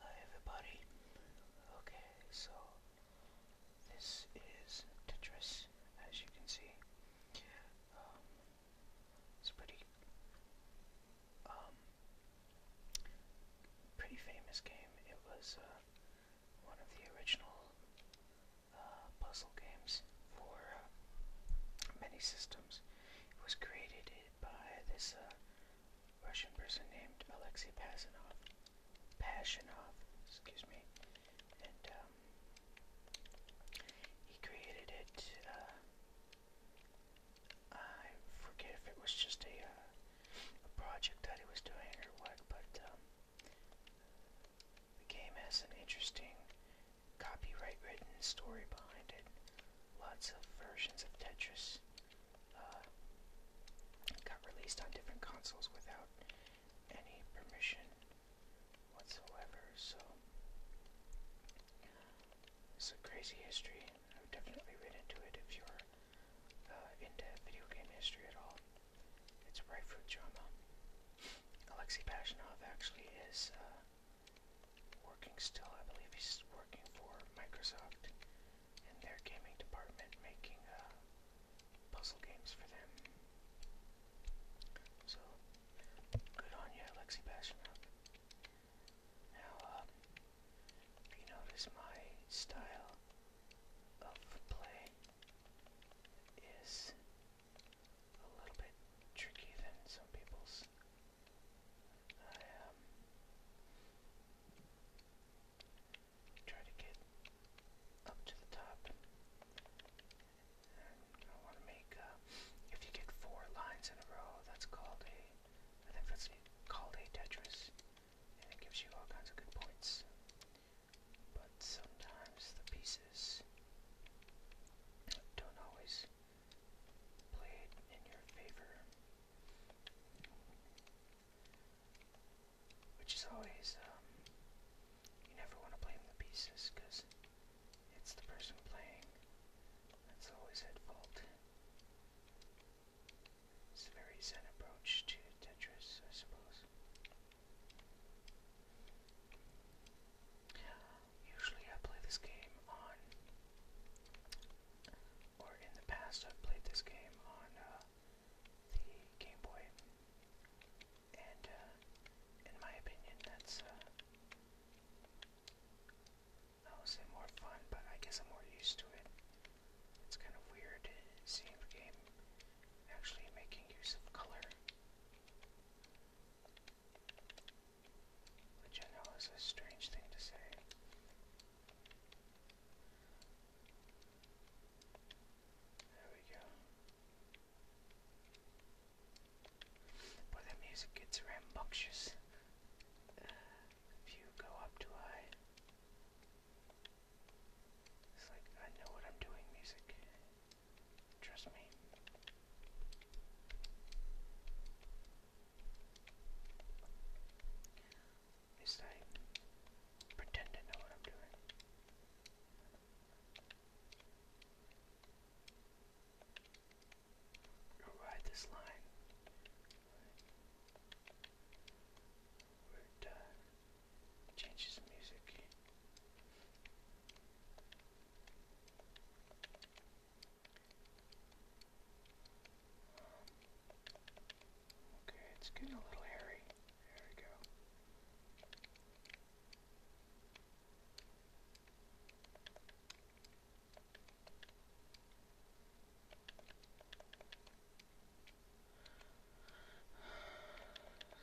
Hi everybody. Okay, so this is Tetris, as you can see. Um, it's a pretty, um, pretty famous game. It was uh, one of the original uh, puzzle games for uh, many systems. It was created by this uh, Russian person named Alexei Pasanov. Pashinov, excuse me. And um, he created it. Uh, I forget if it was just a, uh, a project that he was doing or what, but um, the game has an interesting copyright written story behind it lots of versions of Tetris uh, got released on different consoles without any permission whatsoever. So it's a crazy history. I would definitely read into it if you're uh, into video game history at all. It's rife with drama. Alexei Pashinov actually is. Uh, working still. I believe he's working for Microsoft in their gaming department, making uh, puzzle games for them. So, good on you, Alexei Pashinov. Now, uh, if you notice my style of play is a little bit tricky than some people's. I um, try to get up to the top. And I want to make, uh, if you get four lines in a row, that's called a, I think that's called a Tetris, and it gives you all kinds of good points. But sometimes the pieces don't always played in your favor, which is always, um, you never want to blame the pieces because it's the person playing that's always at fault. It's a very zen approach to Tetris, I suppose. Usually I play this game on, or in the past I've played this game on uh, the Game Boy, and uh, in my opinion that's, uh, I will say more fun, but I guess I'm more used to it. It's kind of weird seeing the game actually making use of color. Which I know is a strange thing to say. There we go. Boy, that music gets rambunctious if you go up too high. It's like, I know what I'm doing, music. Trust me. At least pretend to know what I'm doing. Go this line. We'd uh, change music. Okay, it's getting a little hairy. There we go.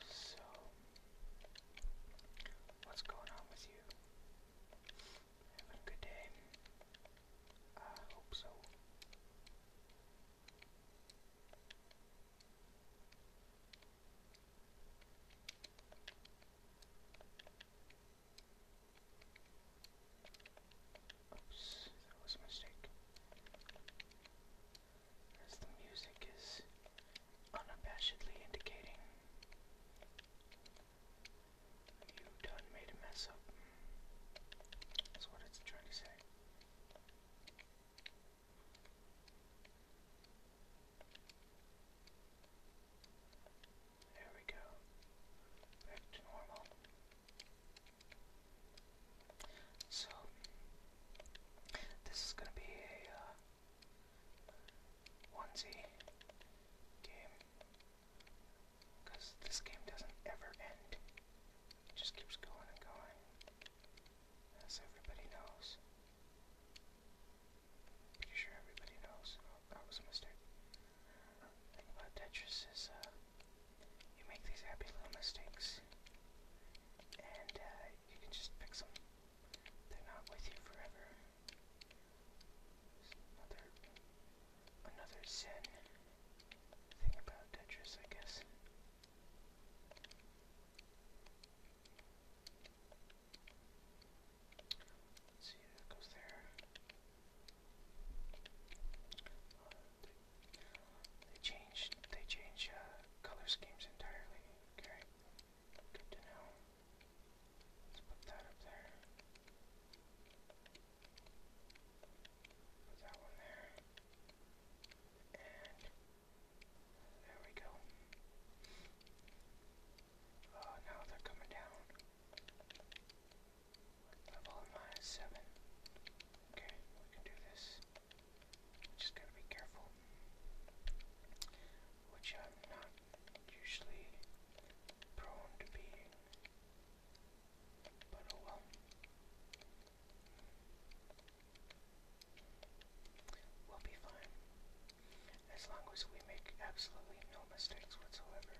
So, what's going on with you? having a good day. I hope so. Oops, that was a mistake. As the music is unabashedly indicating you done made a mess up. That's what it's trying to say. There we go. Back to normal. So, this is going to be a uh, onesie game because this game doesn't ever end. It just keeps going and going, as everybody knows. Pretty sure everybody knows. Oh, that was a mistake. thing about Tetris is, uh, you make these happy little mistakes, and uh, you can just pick them. They're not with you forever. Another, another Zen thing about Tetris, I guess. Let's see, that goes there. they, change, they change uh, color schemes entirely. Okay, good to know. Let's put that up there. Put that one there. And there we go. Oh, now they're coming down. Level Seven. Okay, we can do this. Just gotta be careful. Which I'm uh, not usually prone to being. But oh well. We'll be fine. As long as we make absolutely no mistakes whatsoever,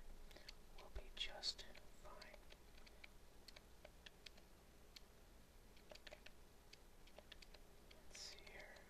we'll be just fine. Let's see here.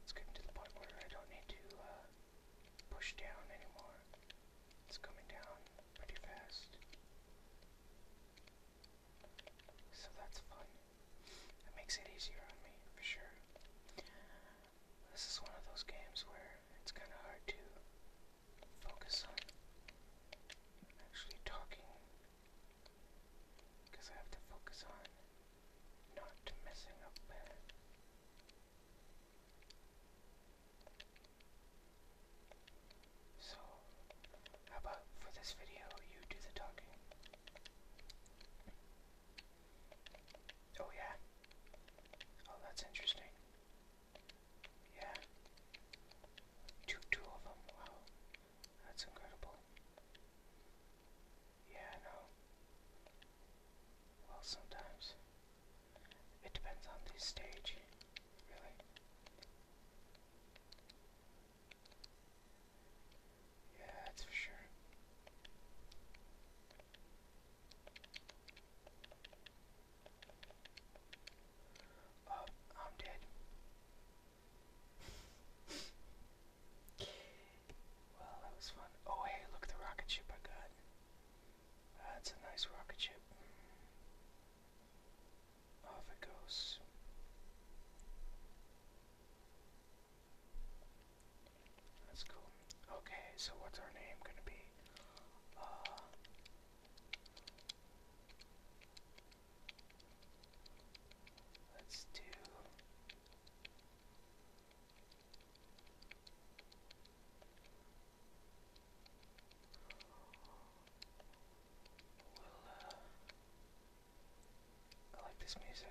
It's getting to the point where I don't need to uh, push down anymore. It's coming down pretty fast. So that's fun. It makes it easier on me, for sure. This is one of those games where it's kind of hard to focus on actually talking because I have to focus on so how about for this video you do the talking oh yeah oh that's interesting yeah two two of them wow that's incredible yeah, I know. Well, sometimes. It depends on the stage, really. Yeah, that's for sure. Oh, I'm dead. Well, that was fun. Oh, hey, look at the rocket ship I got. That's a nice rocket ship. Off it goes. That's cool. Okay, so what's our name gonna be? Uh, let's do uh, I like this music.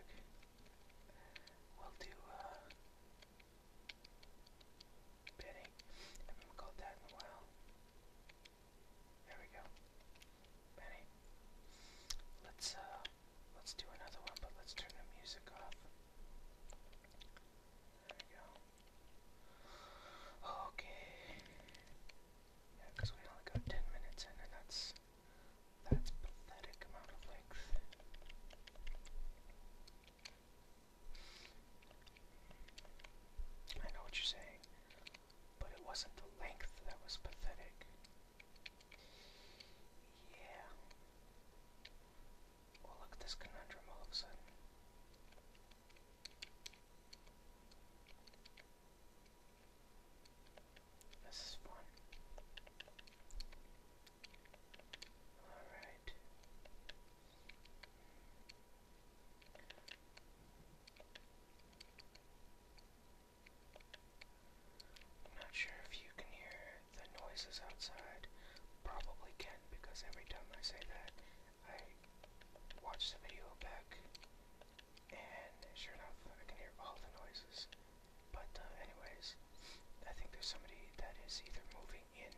We'll do uh, Penny. I haven't called that in a while. There we go. Penny. Let's uh let's do another one, but let's turn the music off. Okay. Yeah, we only got ten minutes in and that's that's pathetic amount of length. I know what you're saying, but it wasn't the length that was pathetic. Yeah. Well, look at this conundrum all of a sudden. This is fun. Alright. I'm not sure if you can hear the noises outside. Probably can because every time I say that, I watch the video back, and sure enough, I can hear all the noises. But uh, anyways, I think there's somebody that is either moving in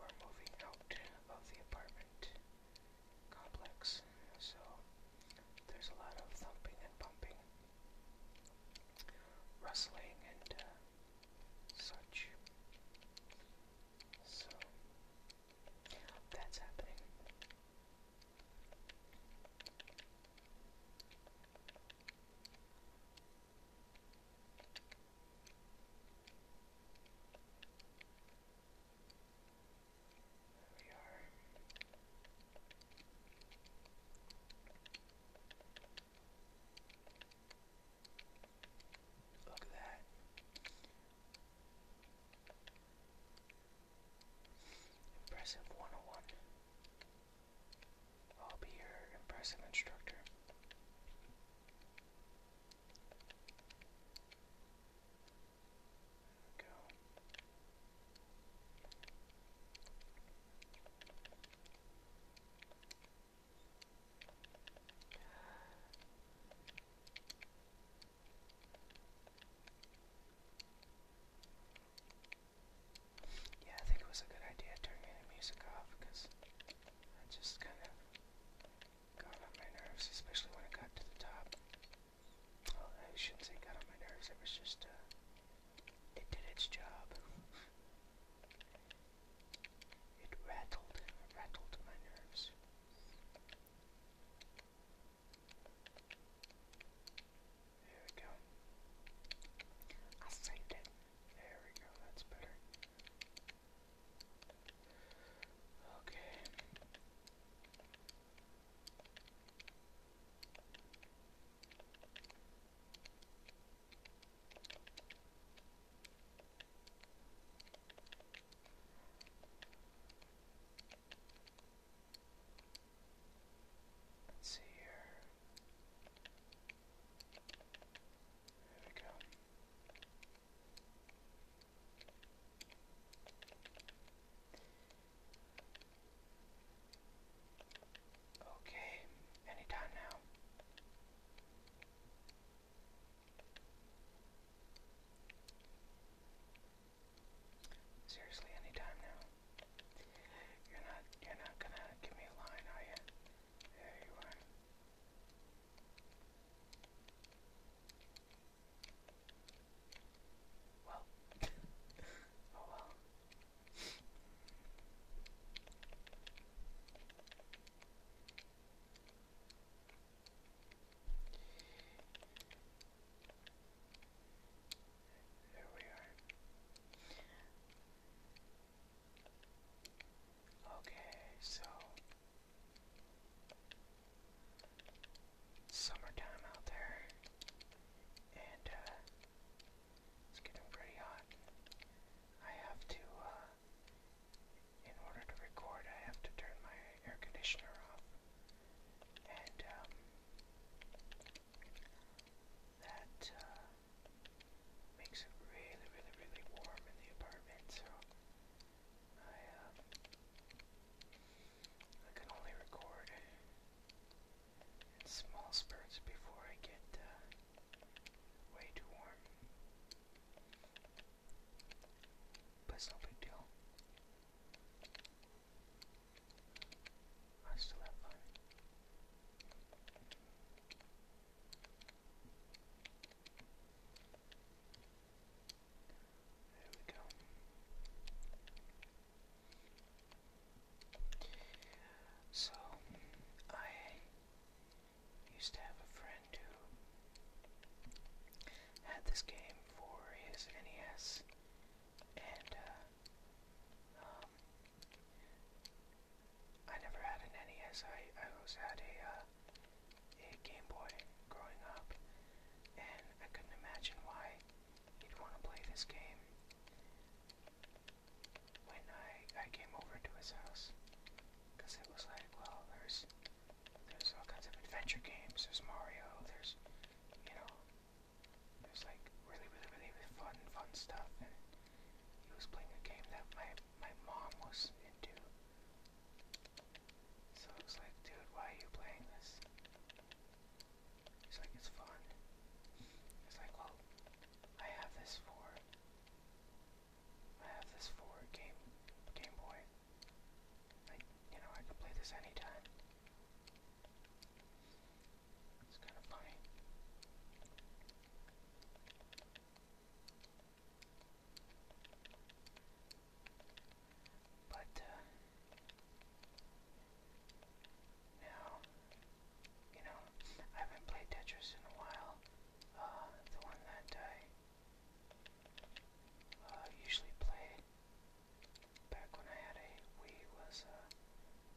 or moving out of the apartment complex. So there's a lot of thumping and bumping, rustling and uh, such. So that's happening. Look at that. Impressive 101. I'll be your impressive instructor. Yeah, I think it was a good idea turning the music off because I just kind of got on my nerves, especially when it got to the top. Oh, I shouldn't say got on my nerves. It was just, uh, it did its job. It rattled, rattled my nerves. There we go. I saved it. There we go, that's better. Okay. Let's see here. There we go. Okay, anytime now. Seriously, anytime now. You're not you're not gonna give me a line, are you? There you are. Well, oh well. There we are. Okay, so summertime out there, and uh, it's getting pretty hot. I have to, uh, in order to record, I have to turn my air conditioner off, and um, that uh, makes it really, really, really warm in the apartment. So I um, I can only record in small spurts before I get uh, way too warm. But it's no big deal. I still have fun. So, I used to have a friend who had this game for his NES, and uh, um, I never had an NES. I I always had a uh, a Game Boy growing up, and I couldn't imagine why you'd want to play this game. When I I came over to his house, because it was like, well, there's there's all kinds of adventure games. There's Mario. There's you know, there's like really really really fun fun stuff. And he was playing a game that my my mom was into. So it was like, dude, why are you playing this? It's like it's fun. It's like, well, I have this for I have this for game Game Boy. Like, you know, I could play this anytime. It's kind of funny. But uh, now, you know, I haven't played Tetris in a while. Uh, the one that I uh, usually play back when I had a Wii was uh,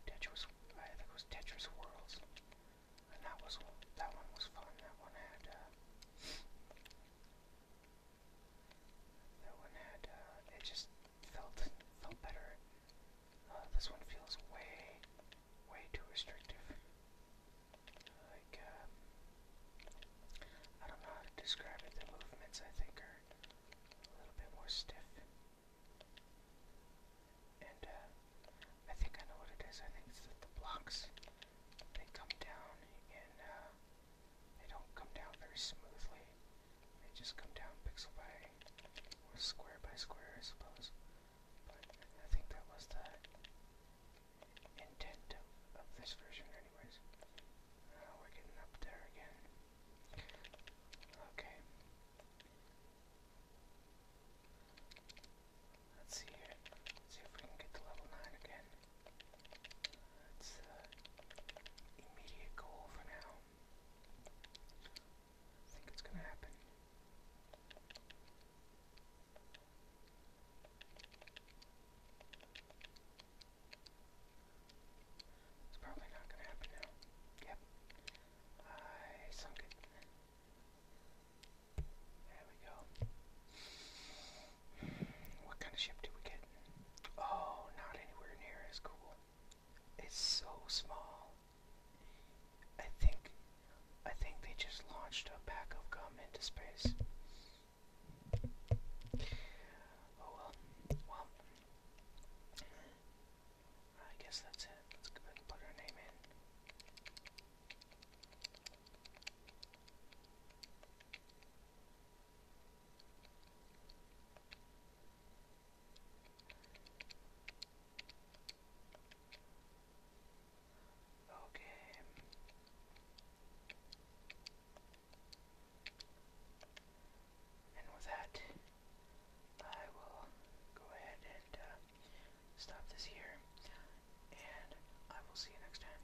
Tetris. I think it was Tetris Worlds, and that was that one was fun. That one had. Uh, that one had, uh, it just felt, felt better. Uh, this one feels way, way too restrictive. Like, um, I don't know how to describe it. The movements, I think, are a little bit more stiff. And, uh, I think I know what it is. I think it's that the blocks, they come down in, they don't come down very smoothly. They just come down pixel by square by square, I suppose. But I think that was the intent of, this version, anyways. Uh, we're getting up there again. Okay. Let's see here. see if we can get to level 9 again. That's uh, immediate goal for now. I think it's going to happen. It's probably not going to happen now. Yep. I sunk it. There we go. What kind of ship do we get? Oh, not anywhere near as cool. It's so small. I think I think they just launched a pack of gum into space. Oh well. Well I guess that's it. Let's go ahead and put our name in. Okay. And with that, I will go ahead and uh, stop this here, and I will see you next time.